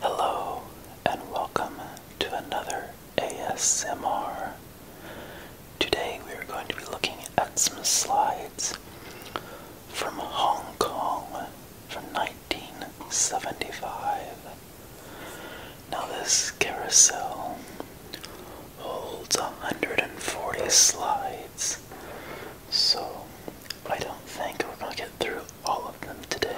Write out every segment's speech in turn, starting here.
Hello, and welcome to another ASMR. Today we are going to be looking at some slides from Hong Kong from 1975. Now, this carousel holds 140 slides, so I don't think we're going to get through all of them today.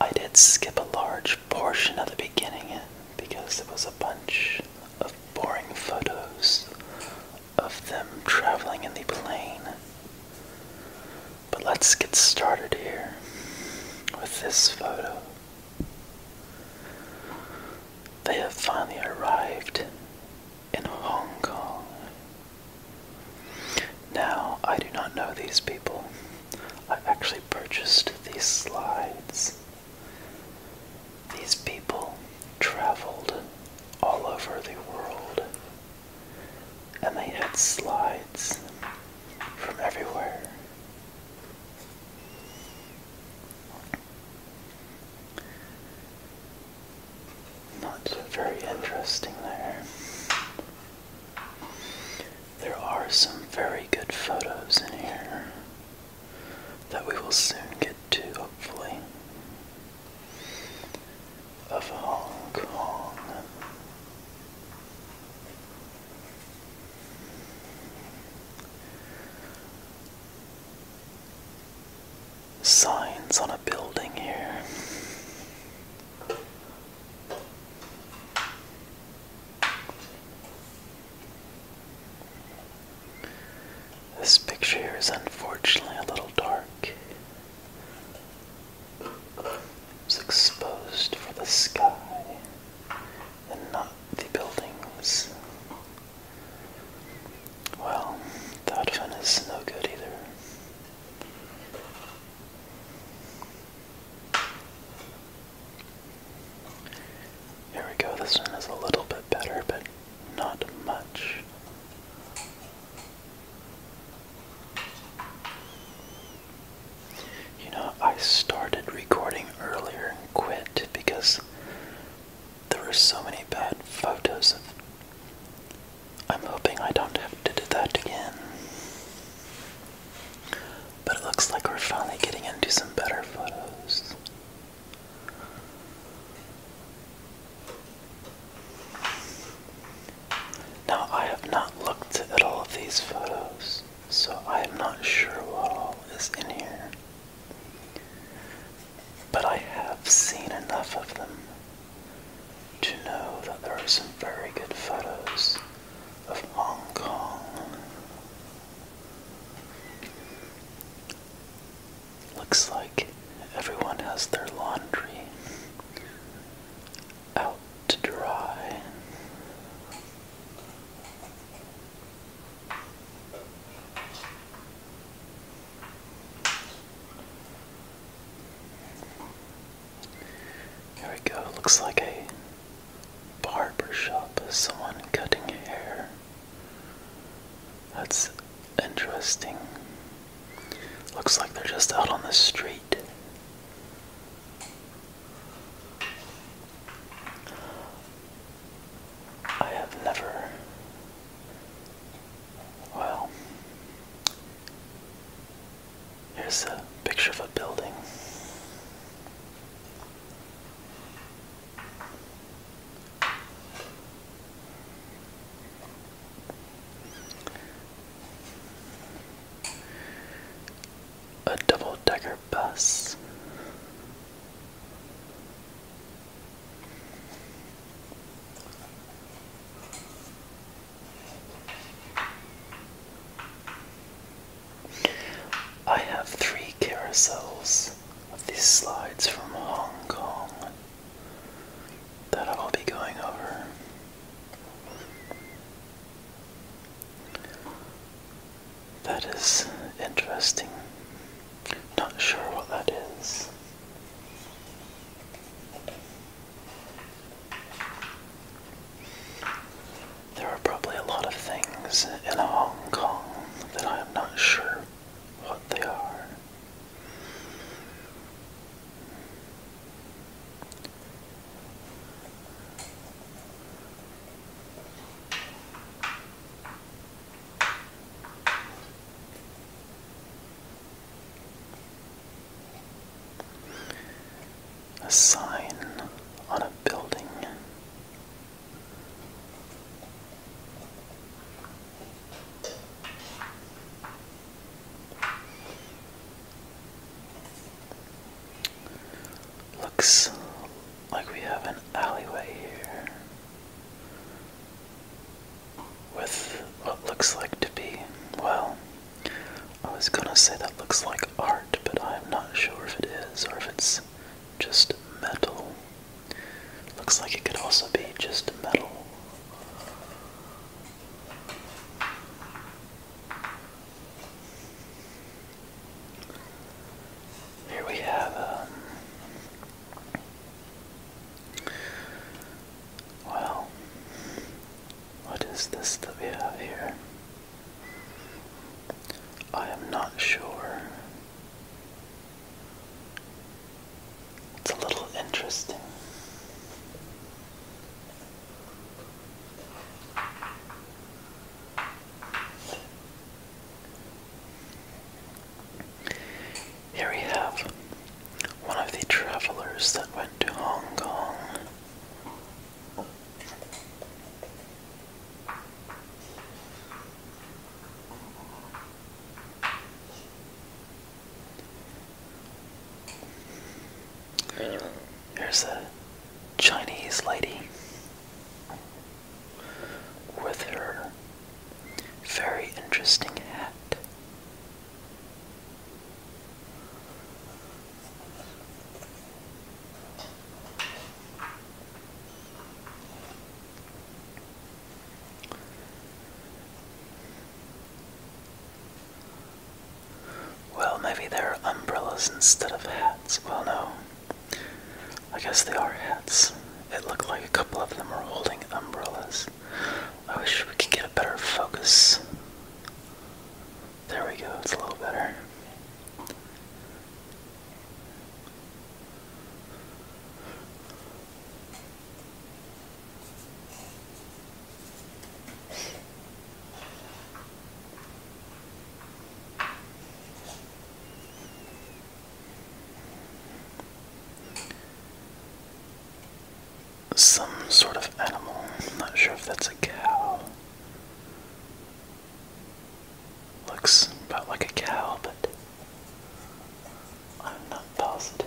I did skip a large portion of the beginning because there was a bunch of boring photos of them traveling in the plane. But let's get started here with this photo. They have finally arrived in Hong Kong. Now, I do not know these people. I actually purchased these slides. These people traveled all over the world and they had slides from everywhere. Not very interesting there. There are some very good photos in here that we will soon get to, hopefully, of Hong Kong signs on a building here. This picture here is unfortunately a little dark. It's exposed for the sky and not the buildings. Well, that one is no good either. Here we go, this one is a little bit better, but not much. You know, I started recording earlier and quit because there are so many bad photos of. I'm hoping I don't have to do that again. But it looks like we're finally getting into some better photos. Now, I have not looked at all of these photos, so I am not sure what all is in here. But I have seen enough of them to know that there are some very good photos of Hong Kong. Looks like everyone has their laundry out to dry. There we go, looks like a barber shop, someone cutting hair. That's interesting. Looks like they're just out on the street. I have never, well, here's a picture of a building a double decker bus. I have three carousels of these slides from Hong Kong that I will be going over. That is interesting. Not sure what that is. There are probably a lot of things in Hong Kong that I am not sure what they are. A sign on a building. Looks like we have an alleyway here with what looks like to be, well, I was gonna say that looks like art, but I'm not sure if it is or if it's just metal. Looks like it could also be just metal. Here we have, um, well, what is this that we have here? I am not sure. It's a little interesting. Here we have one of the travelers that went to Hong Kong. Uh, There's a Chinese lady with her very interesting hat. Well, maybe they're umbrellas instead of hats. Well, no. I guess they are hats. It looked like a couple of them were holding umbrellas. I wish we could get a better focus. There we go, it's a little better. Some sort of animal. not sure if that's a cow. Looks about like a cow, but I'm not positive.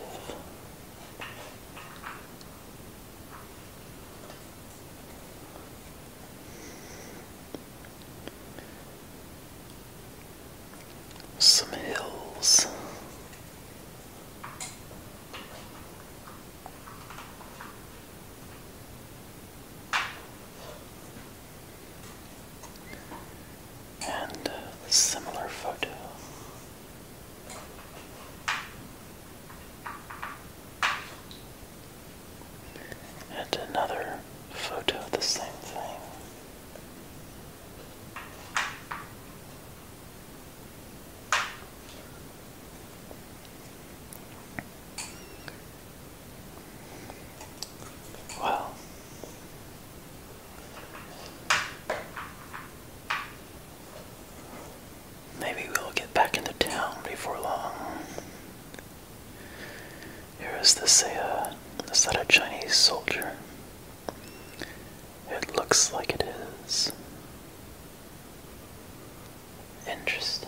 Some hills. And similar photo. And another photo of the same thing. Well, Maybe we'll get back into town before long. Here is this uh, is that a Chinese soldier? It looks like it is. Interesting.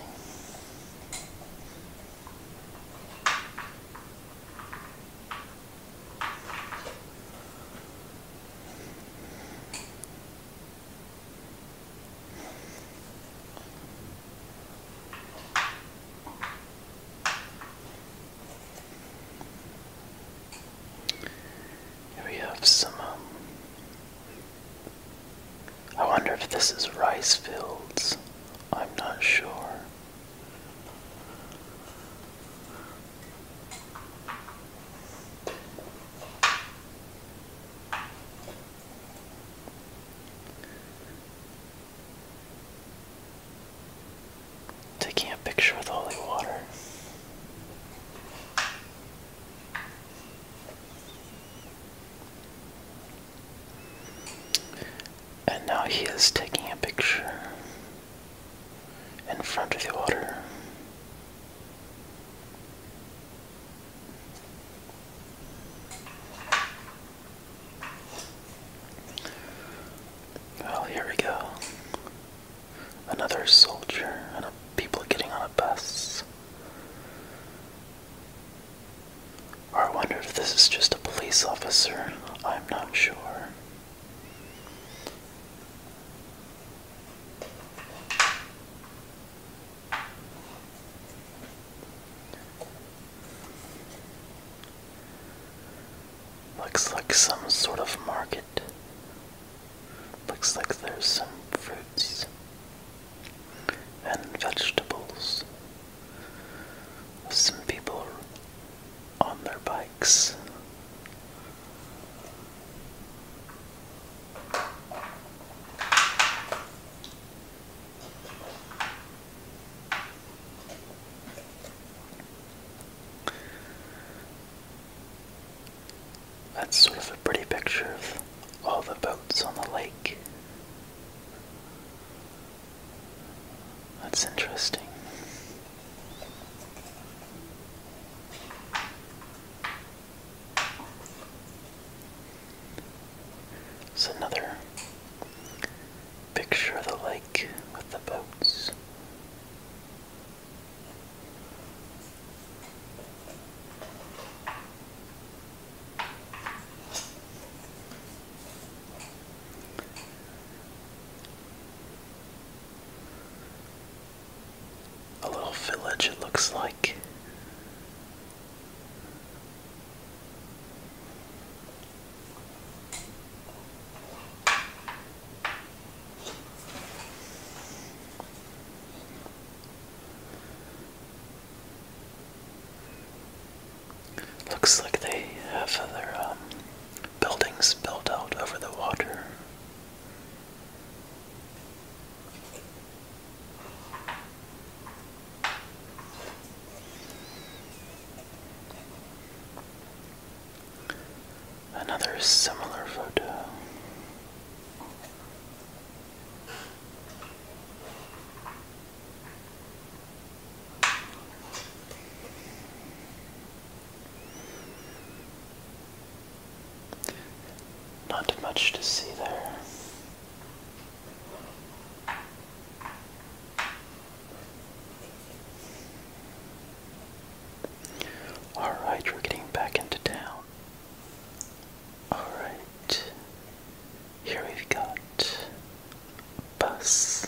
Here we have some. Um, I wonder if this is rice fields. I'm not sure. Taking a picture with holy water. And now he is taking a picture in front of the water. Well, here we go. Another soldier and a people getting on a bus. Or I wonder if this is just a police officer. I'm not sure. Looks like some sort of market. Looks like there's some fruits and vegetables. Some people on their bikes. That's sort of a pretty picture of all the boats on the lake. That's interesting. It's another picture of the lake with the boats. A little village, it looks like. Looks like they have other um, buildings built out over the water. Another similar photo. Not much to see there. Alright, we're getting back into town. Alright, here we've got bus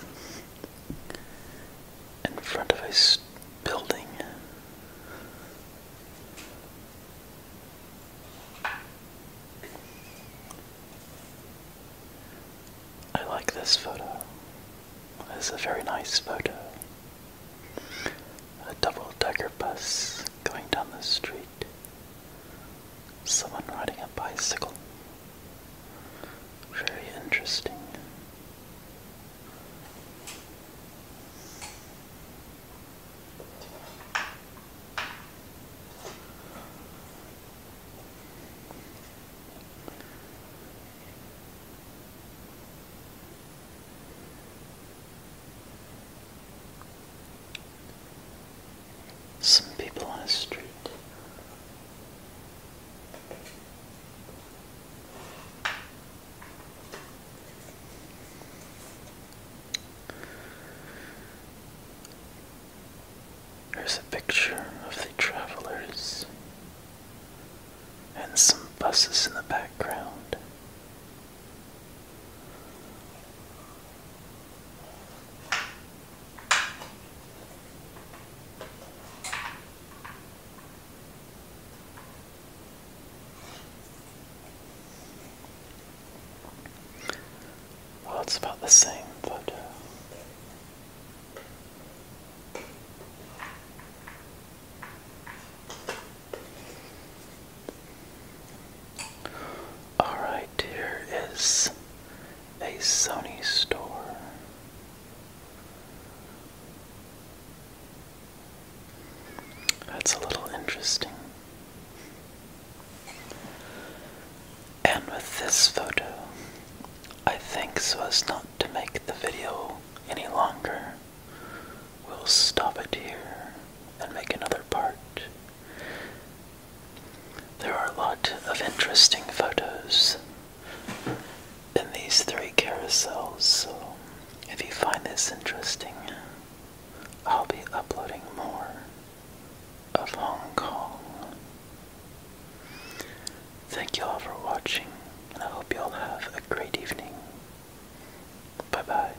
in front of a building. I like this photo. It's a very nice photo. A double decker bus going down the street. Someone riding a bicycle. Very interesting some people on a street. There's a picture of the travelers and some buses in the background. Well, it's about the same, photo. Alright, here is a Sony store. That's a little interesting. And with this photo, I think so as not to make the video any longer, we'll stop it here and make another part. There are a lot of interesting photos in these three carousels, so if you find this interesting, I'll be uploading more of Hong Kong. Thank you all for watching, and I hope you all have a great evening. Bye bye.